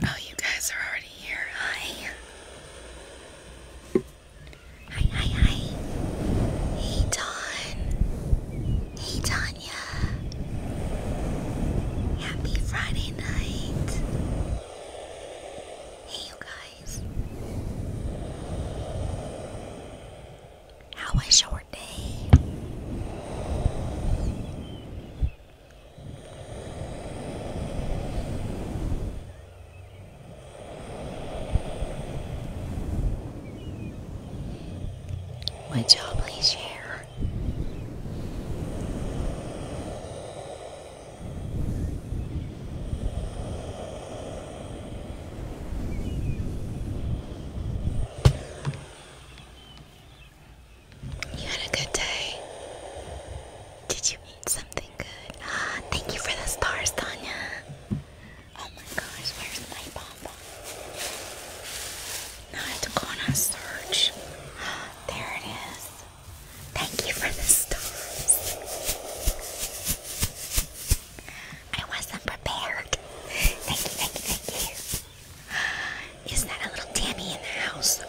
Oh, you guys are already here. Hi. Hi, hi, hi. Hey, Dawn. Hey, Tanya. Happy Friday night. Hey, you guys. How was your day? My job is here. You had a good day. Did you eat something good? Ah, thank you for the stars, Tanya. Oh my gosh, where's my pom? Not gonna search. There it is. Thank you for the stars. I wasn't prepared. Thank you, thank you, thank you. Isn't that a little Tammy in the house?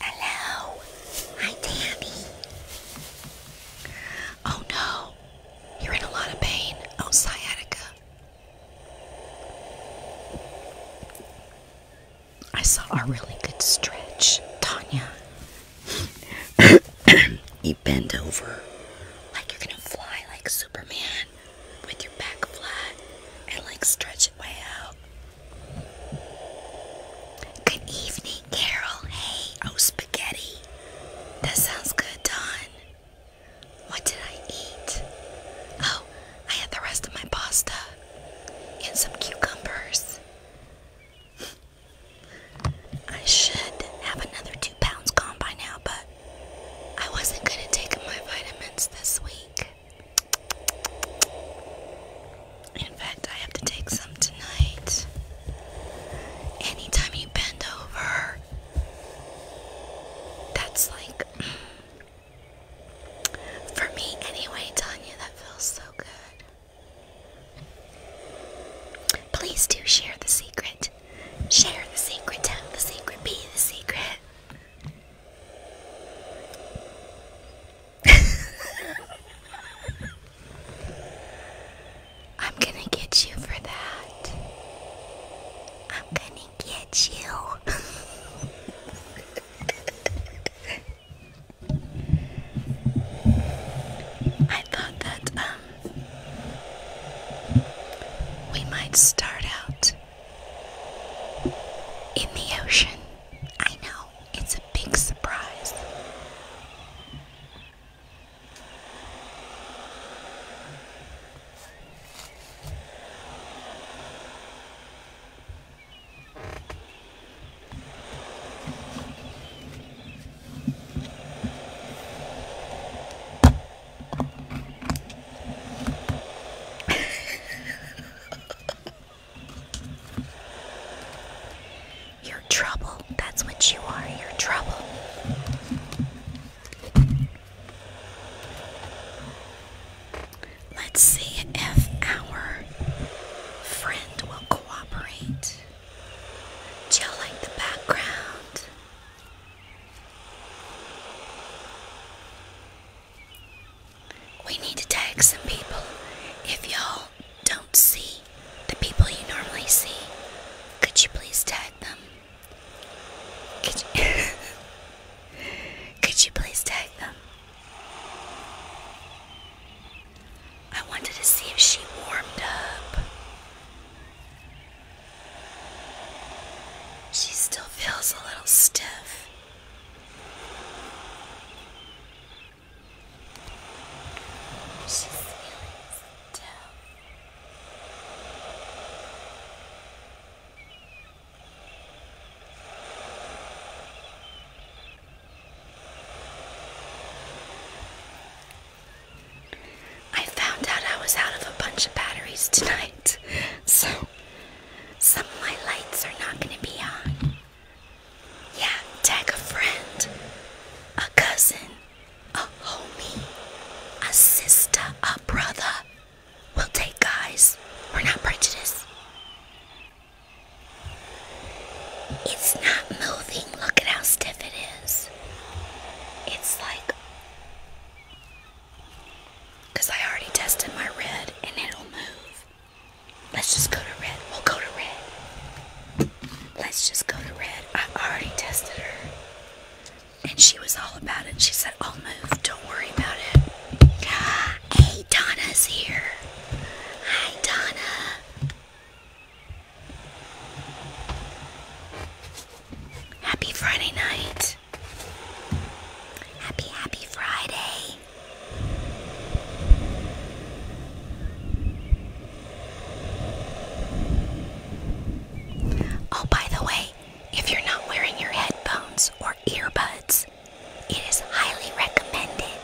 Hello. Hi, Tammy. Oh no, you're in a lot of pain. Oh, sciatica. I saw a really good stretch, Tanya. you bend over like you're gonna fly like Superman with your back flat and like stretch it way out. Good evening, Carol. Hey, oh, spaghetti. That sounds good, Don. What did I eat? Oh, I had the rest of my pasta and some cucumbers. I should have another two pounds gone by now, but I wasn't going to take my vitamins this week. In fact, I have to take some tonight. Anytime you bend over, that's like, for me anyway, Tanya, that feels so good. Please do share the secret. Share the secret, tell the secret, be the secret. I'm gonna get you for that. I'm gonna get you. I thought that um we might start out in the ocean. I know, it's a big surprise. You're trouble. That's what you are. You're trouble. Let's see if our friend will cooperate. Chilling the background. We need to tag some people. If y'all don't see the people you normally see, could you please tag them? Could you, Could you please tag them? I wanted to see if she warmed up. She still feels a little stiff. She's feeling stiff. I found out I was out of a bunch of batteries tonight, so some of my lights are not going to be on. Yeah, tag a friend, a cousin, a homie, a sister, a brother. We'll take guys. We're not prejudiced. It's not moving. Look at how stiff it is. It's like. Because I already tested my red and it'll move. Let's just go to red. We'll go to red. Let's just go to red. I already tested her. And she was all about it. She said, I'll oh, move. Don't worry about it. Hey, Donna's here. Hi, Donna. Happy Friday night. Happy, happy Friday. Oh, by the way, if you're not wearing your headphones or earbuds, it is highly recommended.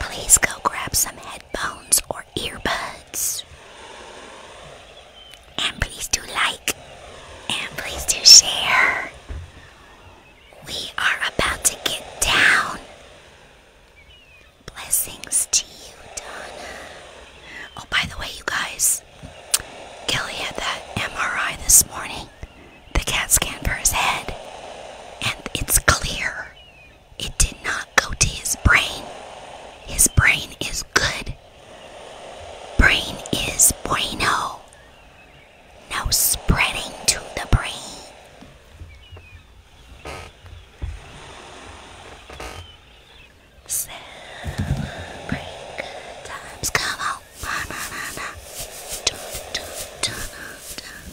Please go grab some headphones or earbuds. And please do like. And please do share. We are about to get down. Blessings to you, Donna. Oh, by the way, you guys, Gilly had that MRI this morning, the CAT scan for his head, and it's clear. It did not go to his brain. His brain is good. Brain is bueno. No spreading to the brain. Celebrate good times. Come on. Na, na, na, na. Dun, dun, dun, dun,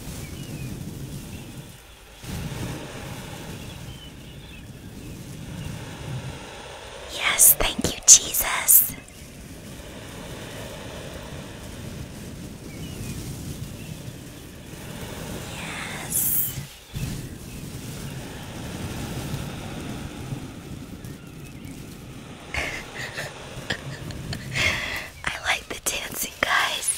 Yes, thank you, Jesus. Yes. I like the dancing, guys.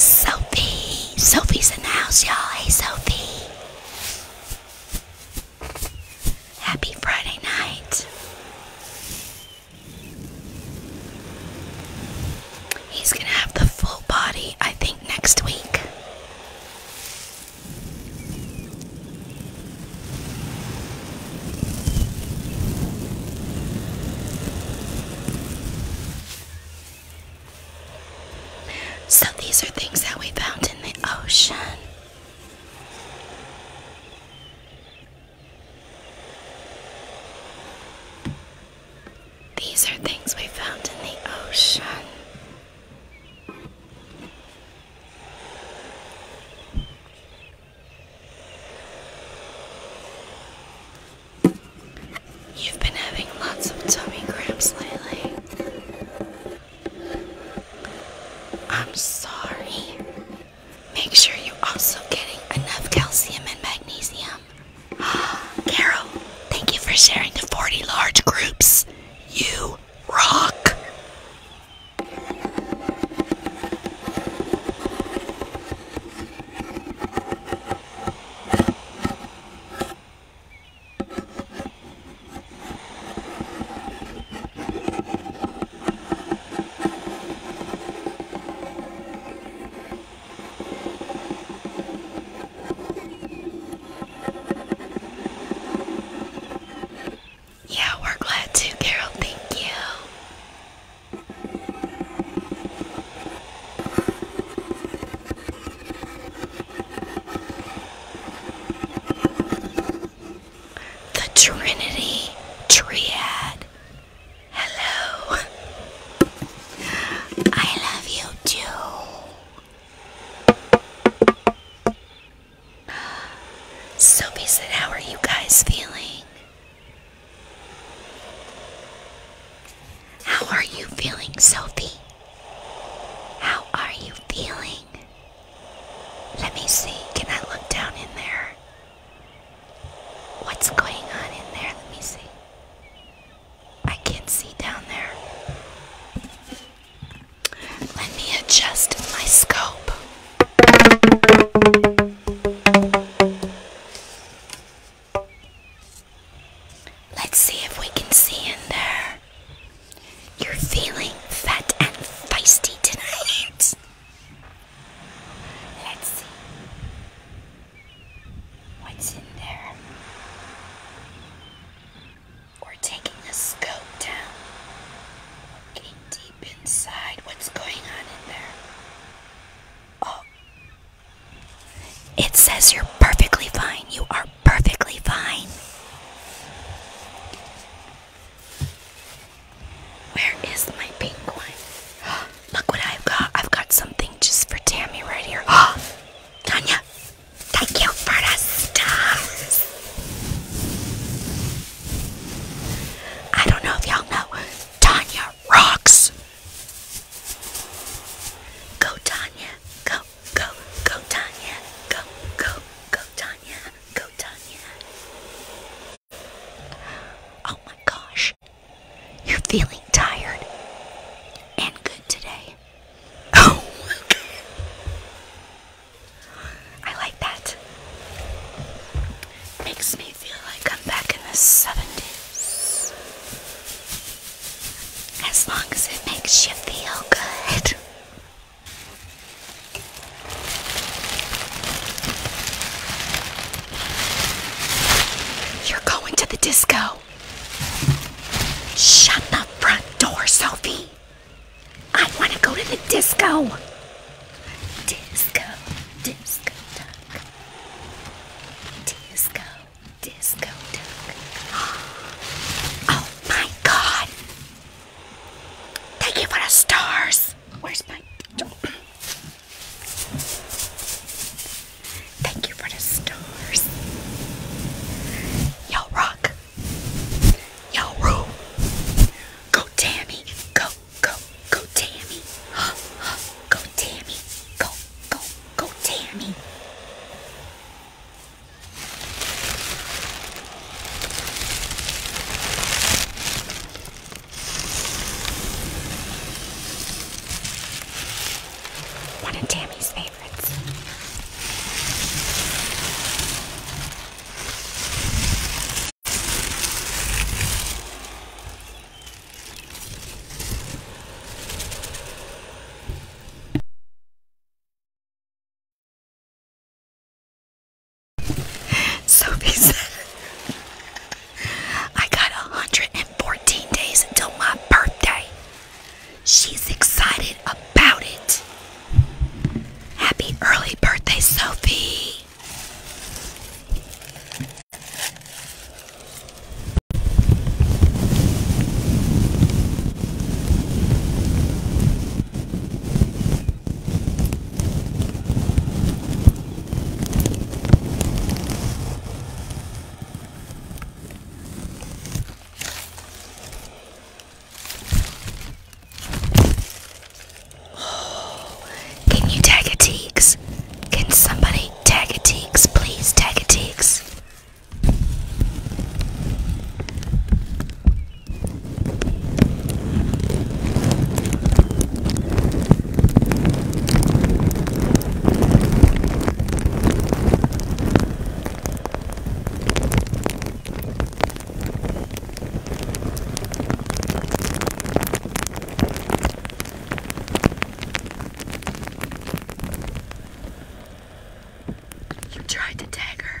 Sophie! Sophie's in the house, y'all. Hey, Sophie! Happy Friday night. He's gonna have the full body, I think, next week. So these are things that we found in the ocean. These are things we found in the ocean. You've been having lots of tummy cramps lately. I'm sorry. Make sure you're also getting enough calcium and magnesium. Carol, thank you for sharing the 40 large groups. You rock. Yeah, we're glad to, Carol. Thank you. The Trinity Triad. Hello. I love you too. So, said, how are you guys feeling? How are you feeling, Sophie? How are you feeling? Let me see. Can I look down in there? What's going on in there? Let me see. I can't see down there. Let me adjust my scope. Let's see if we can see in there. You're feeling fat and feisty tonight. Let's see what's in there. We're taking the scope down, looking deep inside. What's going on in there? Oh, it says you're perfectly fine. You are perfectly fine. Where is my pink one? Look what I've got. I've got something just for Tammy right here. Oh, Tanya, thank you for the stars. I don't know if y'all know. Tanya rocks. Go, Tanya. Go, go, go, Tanya. Go, go, go, Tanya. Go, Tanya. Oh my gosh, you're feeling tired and good today. Oh, I like that. Makes me feel like I'm back in the 70s. As long as it makes you feel good. You're going to the disco. Shut the front door, Sophie. I want to go to the disco. Disco, disco duck. Disco, disco duck. Oh my god. Thank you for the stars. Where's my. Thank you for the stars. Y'all rock. Y'all rule. Go Tammy. Go, go, go Tammy. Huh, huh, go Tammy. Go, go, go Tammy. One of Tammy's favorites. Sophie I got 114 days until my birthday. She's excited about it. Happy early birthday, Sophie. Can you tag a teeks? Can somebody tag a teeks, please tag a teeks? You tried to tag her.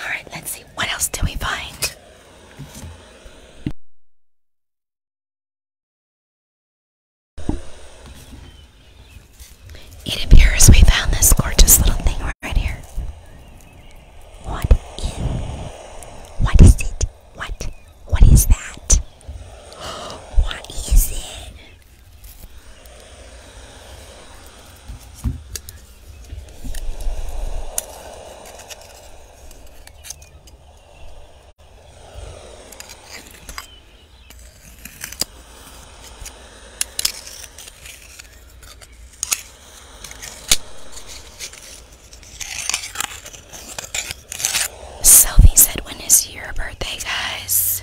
All right, let's see. What else do we find? It appears we found this gorgeous little thing right here. What What is it? What? What is that? What is it? Sophie said, When is your birthday, guys?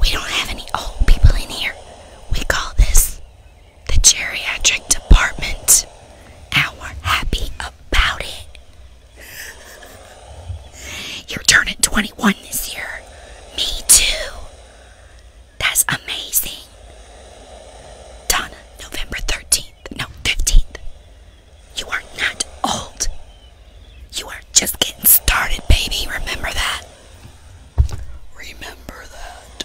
We don't have any old people in here. We call this the geriatric department. Our happy about it. You're turning 21 this year. Me too. That's amazing. Donna, November 13th. No, 15th. You are not old. You are just getting started, baby. Remember that. Remember that.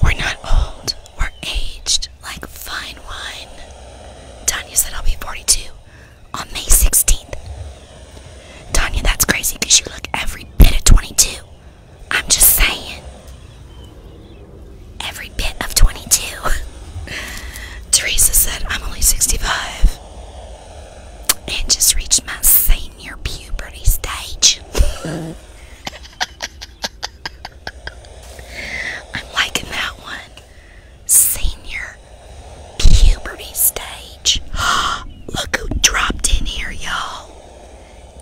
We're not old, we're aged like fine wine. Tanya said I'll be 42 on May 16th. Tanya, that's crazy because you look every bit of 22. I'm just saying. Every bit of 22. Teresa said, I'm only 65 and just reached my senior puberty stage. I'm liking that one. Senior puberty stage. Look who dropped in here, y'all.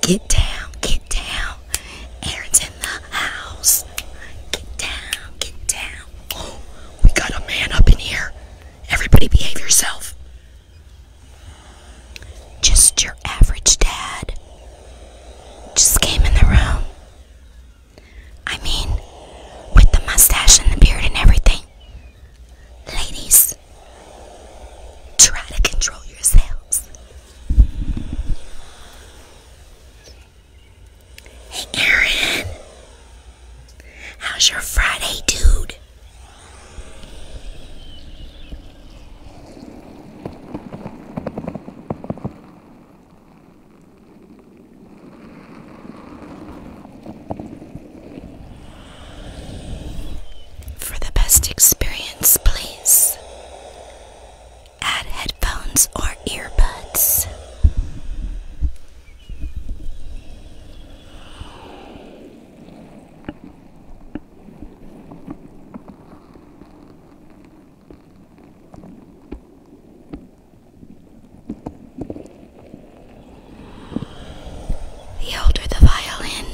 Get down, get down. Aaron's in the house. Get down, get down. Oh, we got a man up in here. Everybody behave yourself. Just your average dad. Just came in the room. I mean, with the mustache and the beard and everything. Ladies, try to control yourselves. Hey, Aaron. How's your Friday, dude? For the best experience, please Add headphones or earbuds. The older the violin,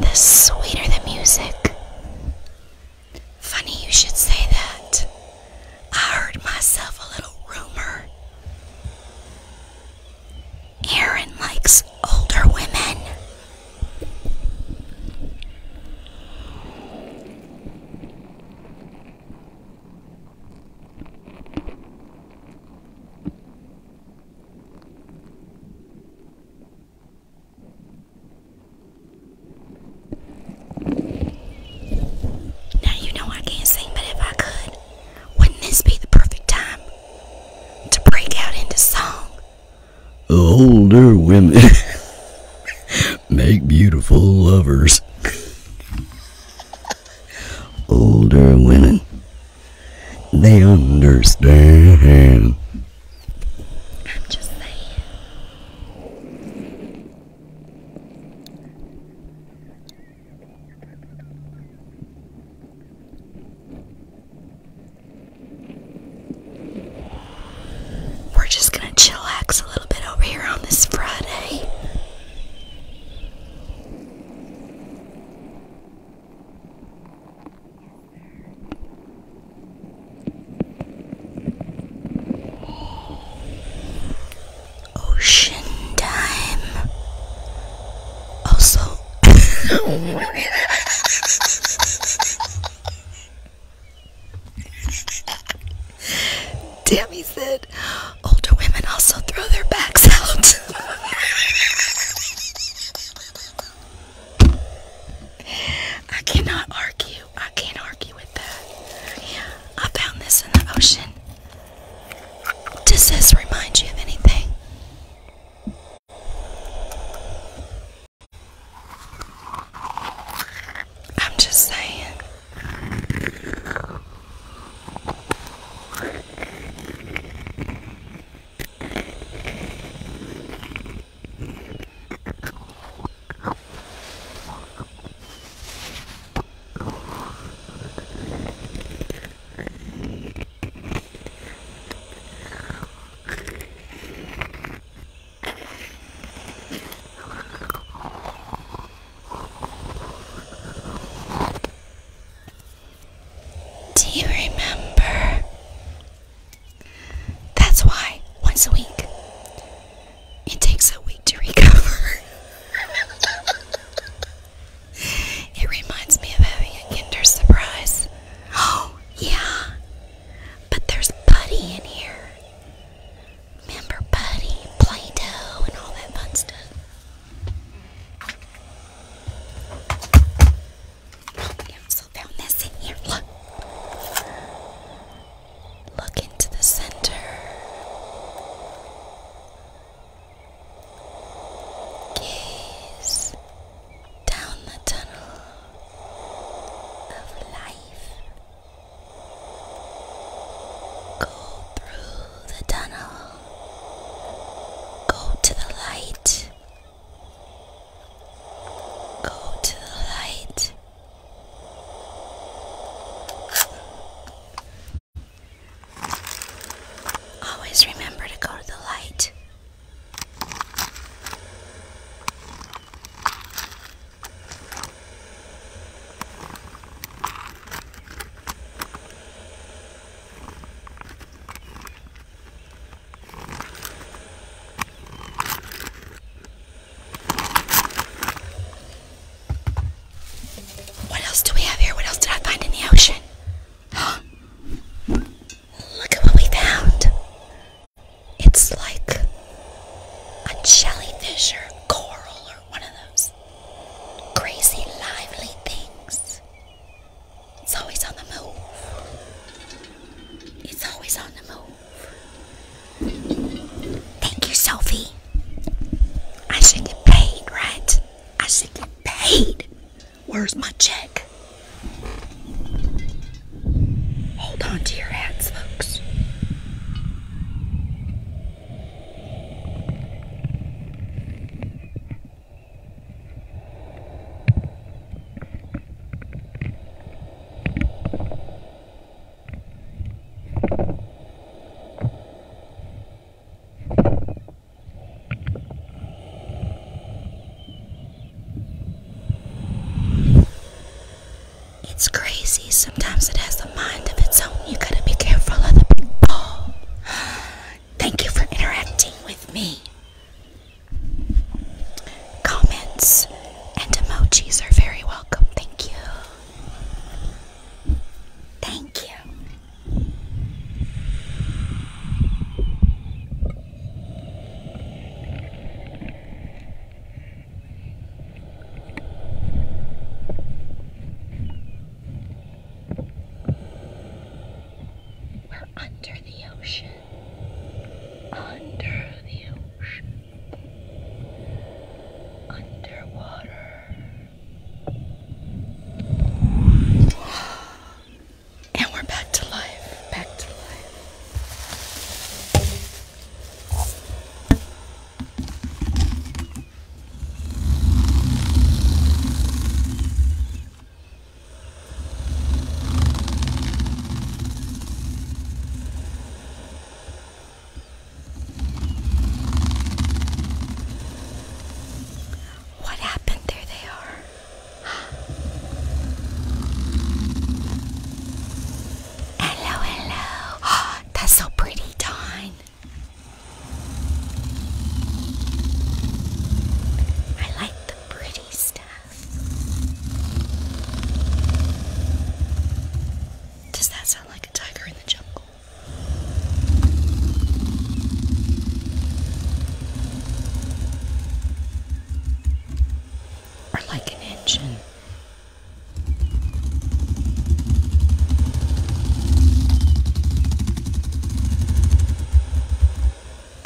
the sweeter the music. Funny you should say that. I heard myself a little rumor. Aaron likes older women. Now you know I can't sing, but if I could, wouldn't this be the perfect time to break out into song? Older women make beautiful lovers. Older women, they understand. We're just gonna chillax a little bit over here on this Friday. Ocean time. Also, Tammy said older women also throw their backs out. I cannot argue. I can't argue with that. I found this in the ocean. Does this remind you of anything? I'm just saying. Do you remember that's why, once a week, it takes a week to recover. it reminds me of having a Kinder Surprise. Oh, yeah. But there's Buddy in here. Remember Buddy, Play Doh, and all that fun stuff we also found this in here. Look. Look into the center. Gaze down the tunnel of life. Go through the tunnel. Go to the light. Go to the light. Always remember to go to the light. What else do we have here? What else did I find in the ocean? Look at what we found. It's like a jellyfish or coral or one of those crazy lively things. It's always on the move. It's always on the move. Thank you, Sophie. I should get paid, right? I should get paid. Where's my check? Hold on to your hats, folks. It's crazy. Sometimes it has a mind of its own. You gotta be careful of the big Thank you for interacting with me. Comments and emojis are very welcome. Thank you. Thank you. We're under the ocean. Under the ocean underwater. And we're back to life. Back to life. What happened? There they are. hello, hello. That's so pretty, Dawn. I like the pretty stuff. Does that sound like a tiger in the jungle? Or like an engine?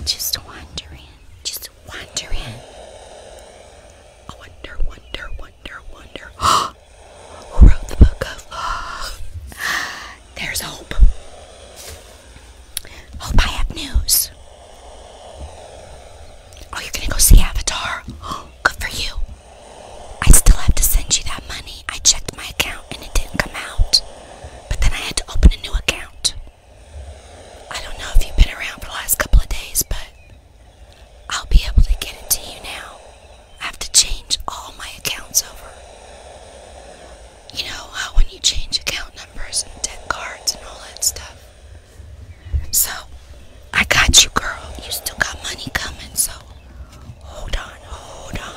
Just wondering, just wondering. wonder, wonder, wonder, wonder. Who wrote the book of? There's hope. Hope I have news. Oh, you're gonna go see Avatar? Good for you. I still have to send you that money. I checked my account and it didn't come out. But then I had to open a new account. I don't know if you've been around for the last couple of days, but I'll be able to get it to you now. I have to change all my accounts over. You know how uh, when you change account numbers and debt cards and all that stuff. So, I got you, girl. You still got money coming, so hold on, hold on.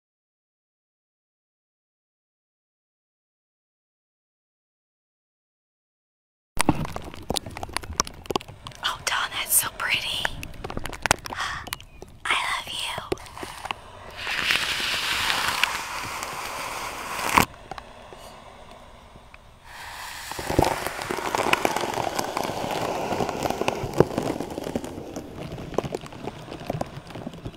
Oh, Dawn, that's so pretty. I love you.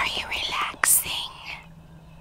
Are you relaxing?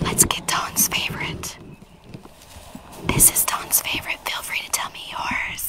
Let's get Don's favorite. This is Don's favorite. Feel free to tell me yours.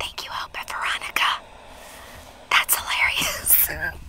Thank you, Hope Veronica. That's hilarious.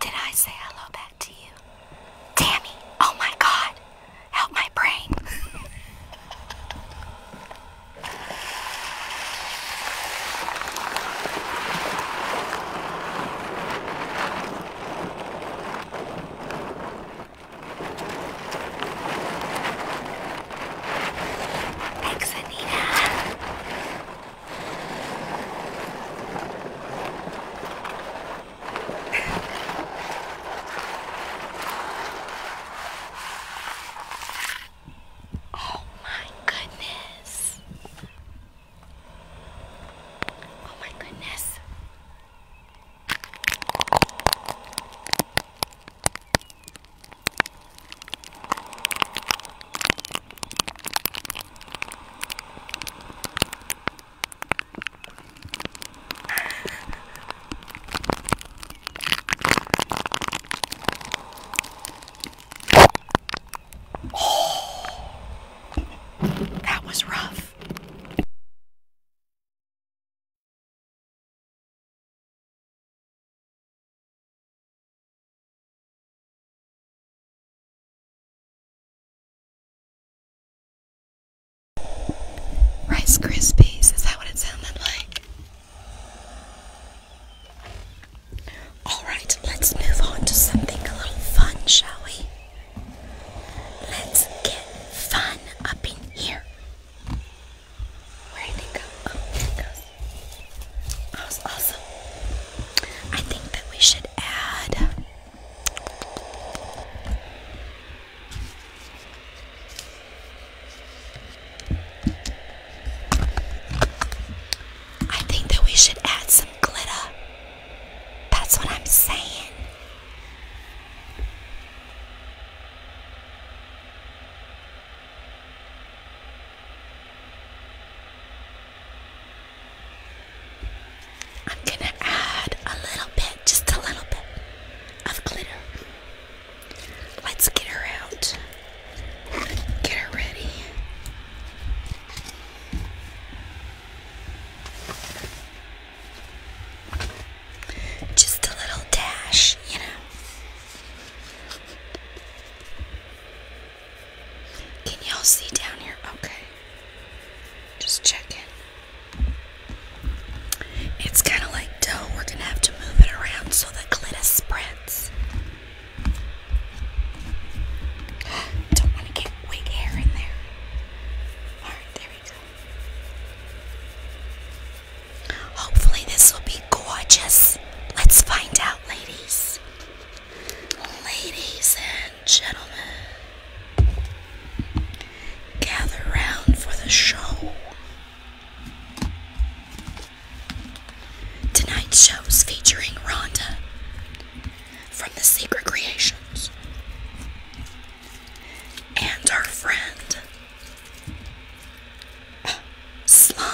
Did I say hello back to you? Tammy, oh my god, help my brain. Thanks, Anita. oh my goodness. Oh my goodness. Oh, that was rough. Rice Krispies, is that what it sounded like? Alright, let's move on to something a little fun, shall we? Let's get fun up in here. Where oh, was awesome. I think that we should add. Um, I think that we should add some glitter. That's what I'm saying. I'm gonna add a little bit, just a little bit of glitter. Let's get her out. Get her ready. Just a little dash, you know. Can y'all see down here? Okay. Just checking. It's kind of like dough. We're going to have to move it around so the glitter spreads. Don't want to get wig hair in there. Alright, there we go. Hopefully, this will be gorgeous. Let's find out, ladies. Ladies and gentlemen, gather round for the show. Tonight's show's featuring Rhonda from The Secret Creations and our friend Slime.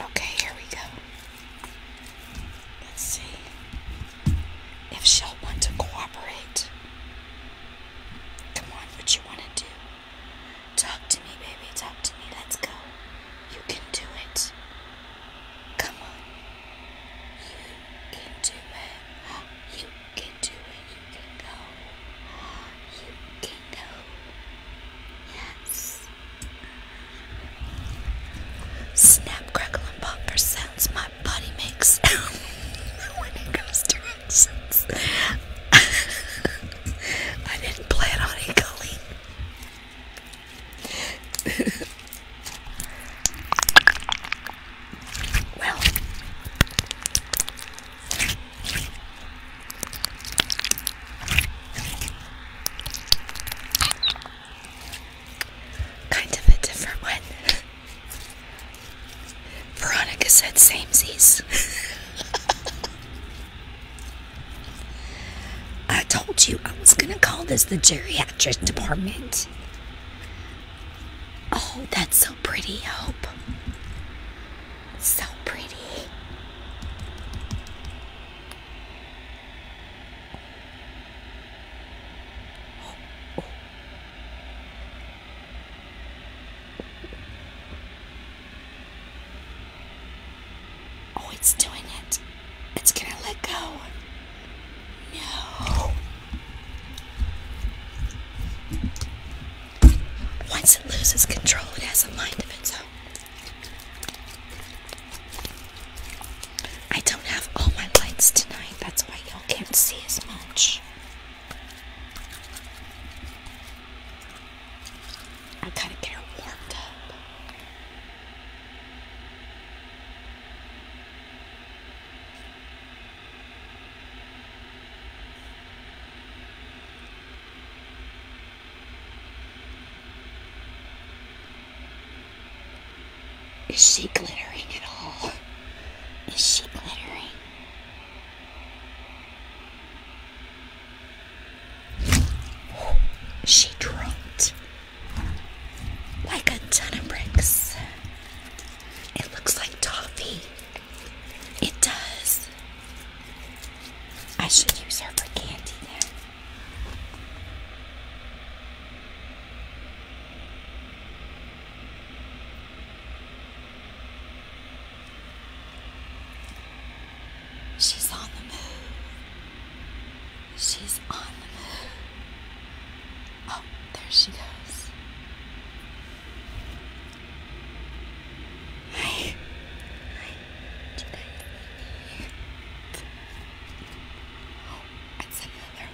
Okay, here we go. Let's see if she'll want to cooperate. Come on, what you want to do? Talk to me, baby. Talk to me. Let's go. You can do it. Come on. You can do it. You can do it, you can go. You can go. Yes. Snap, crackle, and popper sounds my body makes when it goes to actions. I didn't plan on equally. kind of a different one. Veronica said samesies. I told you I was gonna call this the geriatric department. Oh, that's so pretty, Hope. So pretty. Oh, it's doing it. It's gonna let go. No. Once it loses control, it has a mind of its own. I don't have all my lights tonight, that's why y'all can't see as much. I gotta get her warmed up. Is she glittering at all? Is she glittering? she dropped like a ton of bricks. It looks like toffee. It does. I should use her for candy then. She's on the move. She's on the move. Oh, there she goes. Hi. Tonight. Oh, it's another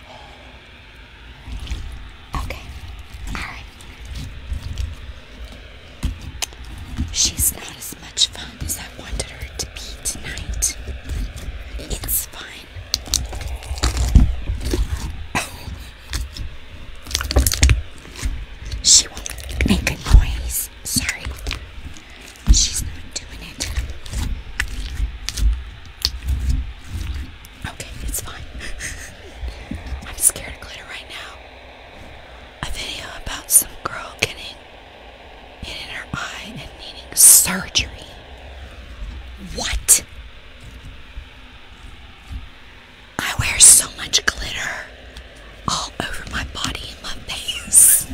Okay. Alright. She's not as much fun as I wanted her to be tonight. It's fine. She won't make a noise. Sorry. She's not doing it. Okay, it's fine. I'm scared of glitter right now. A video about some girl getting it in her eye and needing surgery. What? I wear so much glitter all over my body and my face.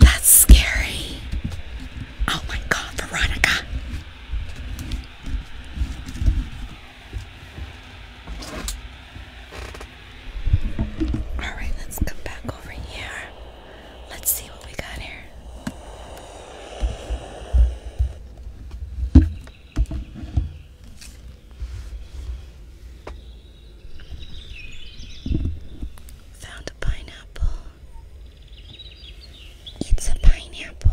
That's scary. Oh my god, Veronica. Alright, let's come back over here. Let's see what we got here. Found a pineapple. It's a pineapple.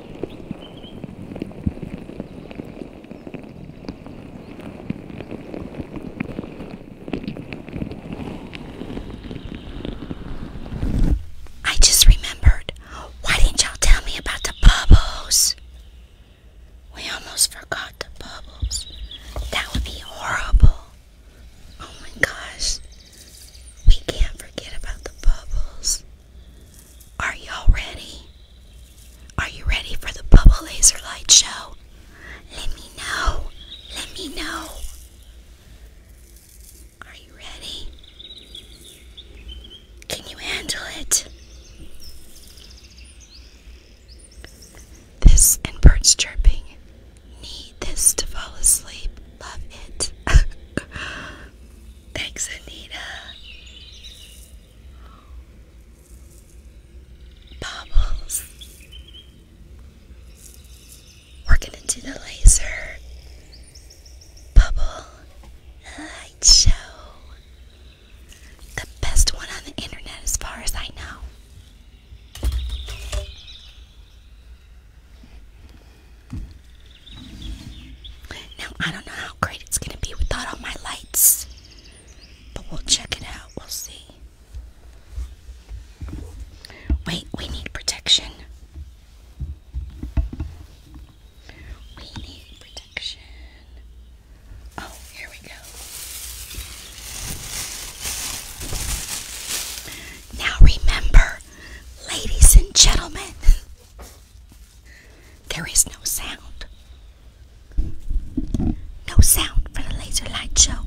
I just remembered. Why didn't y'all tell me about the bubbles? We almost forgot the bubbles. That would be horrible. Oh my gosh. We can't forget about the bubbles. Are y'all ready? Are you ready for the bubble laser light show? Let me know. Let me know. Are you ready? Can you handle it? This and birds chirping. Need this to fall asleep. Love it. Thanks, Anita. Bubbles. We're gonna do the laser bubble light show. The best one on the internet, as far as I know. Now, I don't know how great it's going to be without all my lights, but we'll check it out. We'll see. Wait, we need protection. We need protection. Oh, here we go. Now remember, ladies and gentlemen, there is no sound. No sound for the laser light show.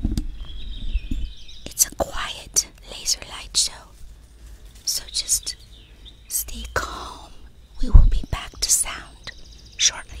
It's a quiet laser light show. So just stay calm. We will be back to sound shortly.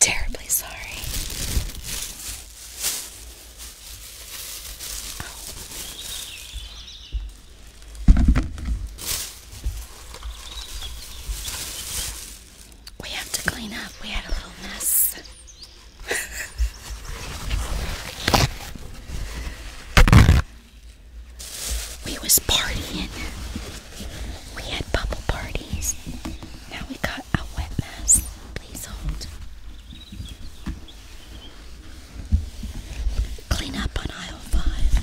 terribly sorry. Oh. We have to clean up. We had a little mess. we was partying. We had bubble parties. Now we got a wet mess. Please hold. Clean up on aisle five.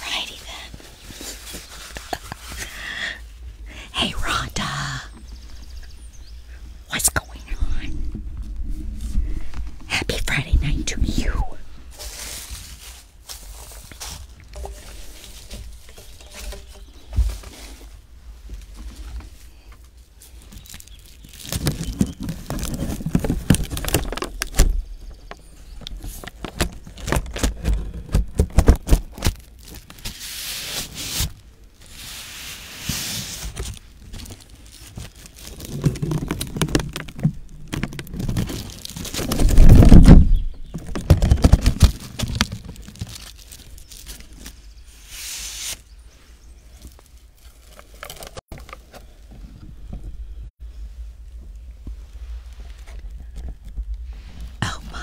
Alrighty then. hey, Rhonda. What's going on? Happy Friday night to you. Oh, my.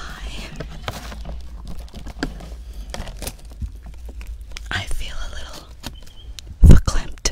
I feel a little verklempt.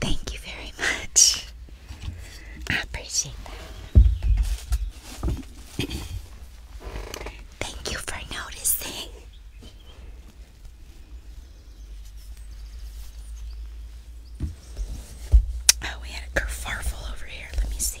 Thank you very much. I appreciate that. Thank you for noticing. Oh, we had a kerfarfle over here. Let me see.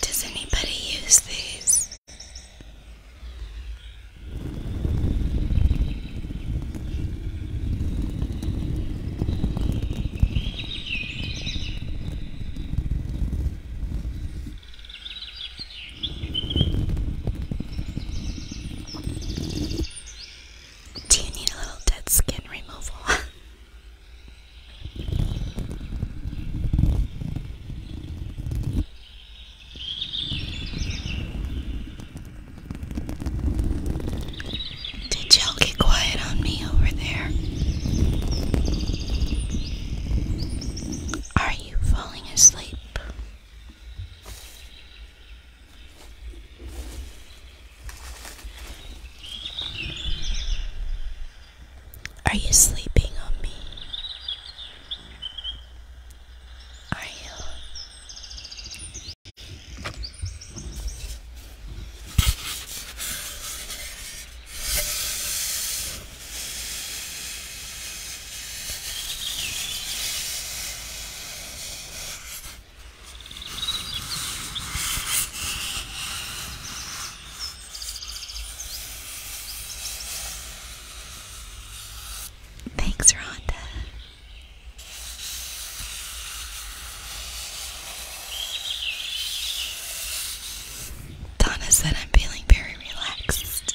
Does anybody use these? Do you need a little dead skin removal? Did y'all get quiet on me over there? Are you falling asleep? Are you sleeping on me? Are you? Thanks, Rhonda. Donna said I'm feeling very relaxed.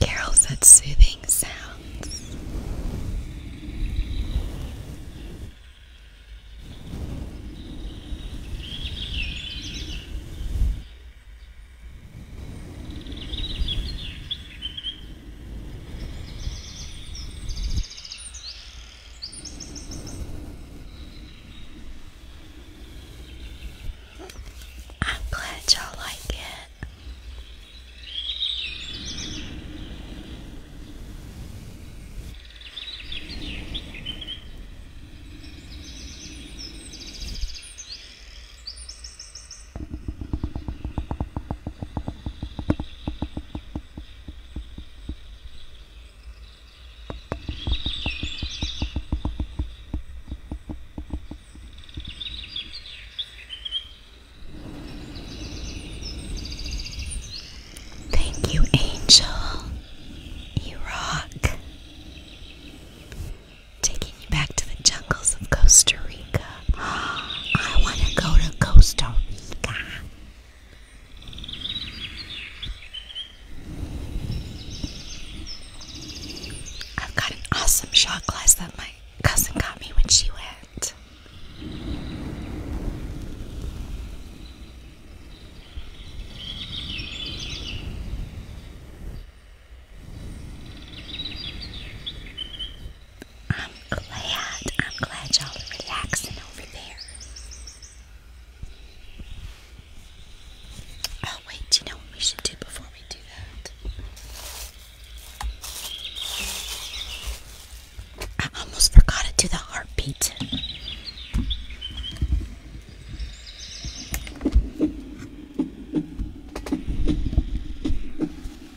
Carol said soothing sounds. I'm glad y'all like it. Thank you, Angel. You rock. Taking you back to the jungles of Costa Rica. I want to go to Costa Rica. I've got an awesome shot glass that my cousin got me when she went. I'm glad. I'm glad y'all are relaxing over there. Oh, wait, you know what we should do before we do that? I almost forgot to do the heartbeat.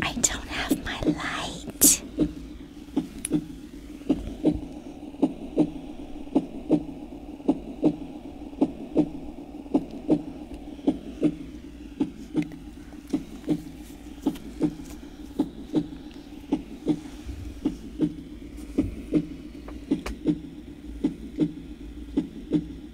I don't have my light.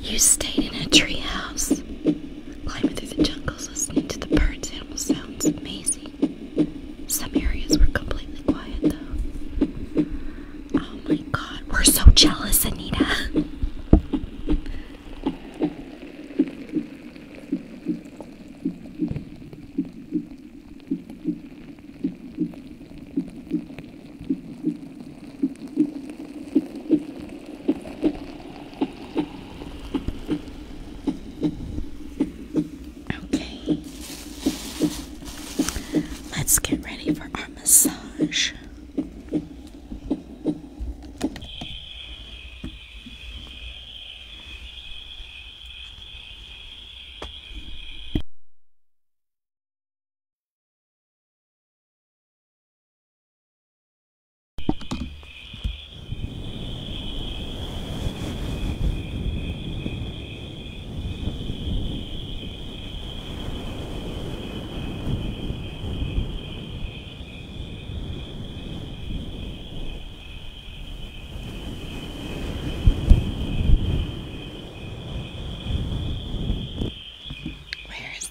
You stayed in a treehouse. Climbing through the jungles, listening to the birds, animal sounds, amazing. Some areas were completely quiet, though. Oh my god, we're so jealous, Anita. Okay. Let's get ready for our massage. Where is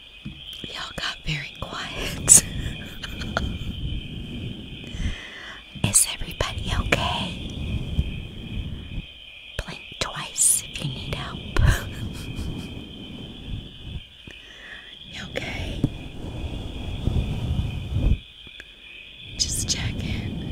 Y'all got very quiet. Is everybody okay? Blink twice if you need help. okay? Just check in.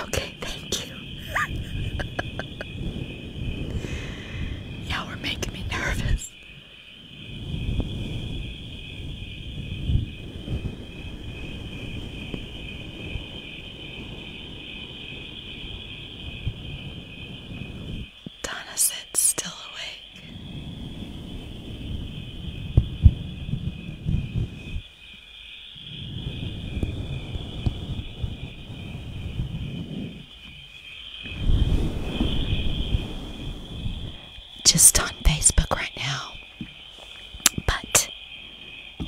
Okay, thank you. Y'all were making me nervous. Donna sits still awake. Just on Facebook right now, but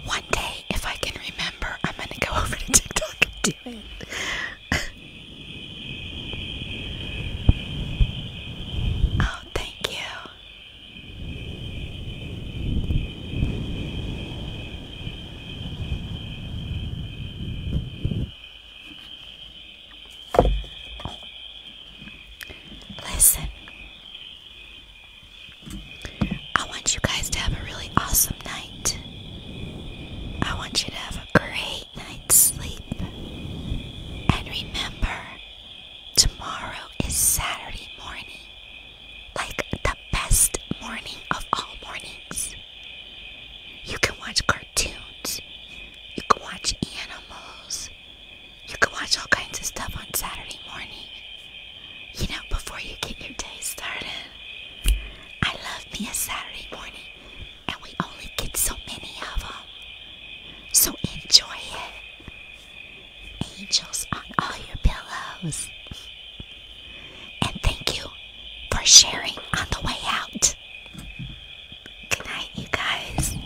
one day, if I can remember, I'm gonna go over to TikTok and do it. oh, thank you. Listen, I want you guys to have a really awesome night. I want you to have a great night's sleep. And remember, tomorrow is Saturday morning, like the best morning of all mornings. You can watch cartoons, you can watch animals, you can watch all kinds of stuff on Saturday morning. You know, before you get your day started. I love me a Saturday morning, and we only get so many of them. So enjoy it. Angels on all your pillows. And thank you for sharing on the way out. Good you guys.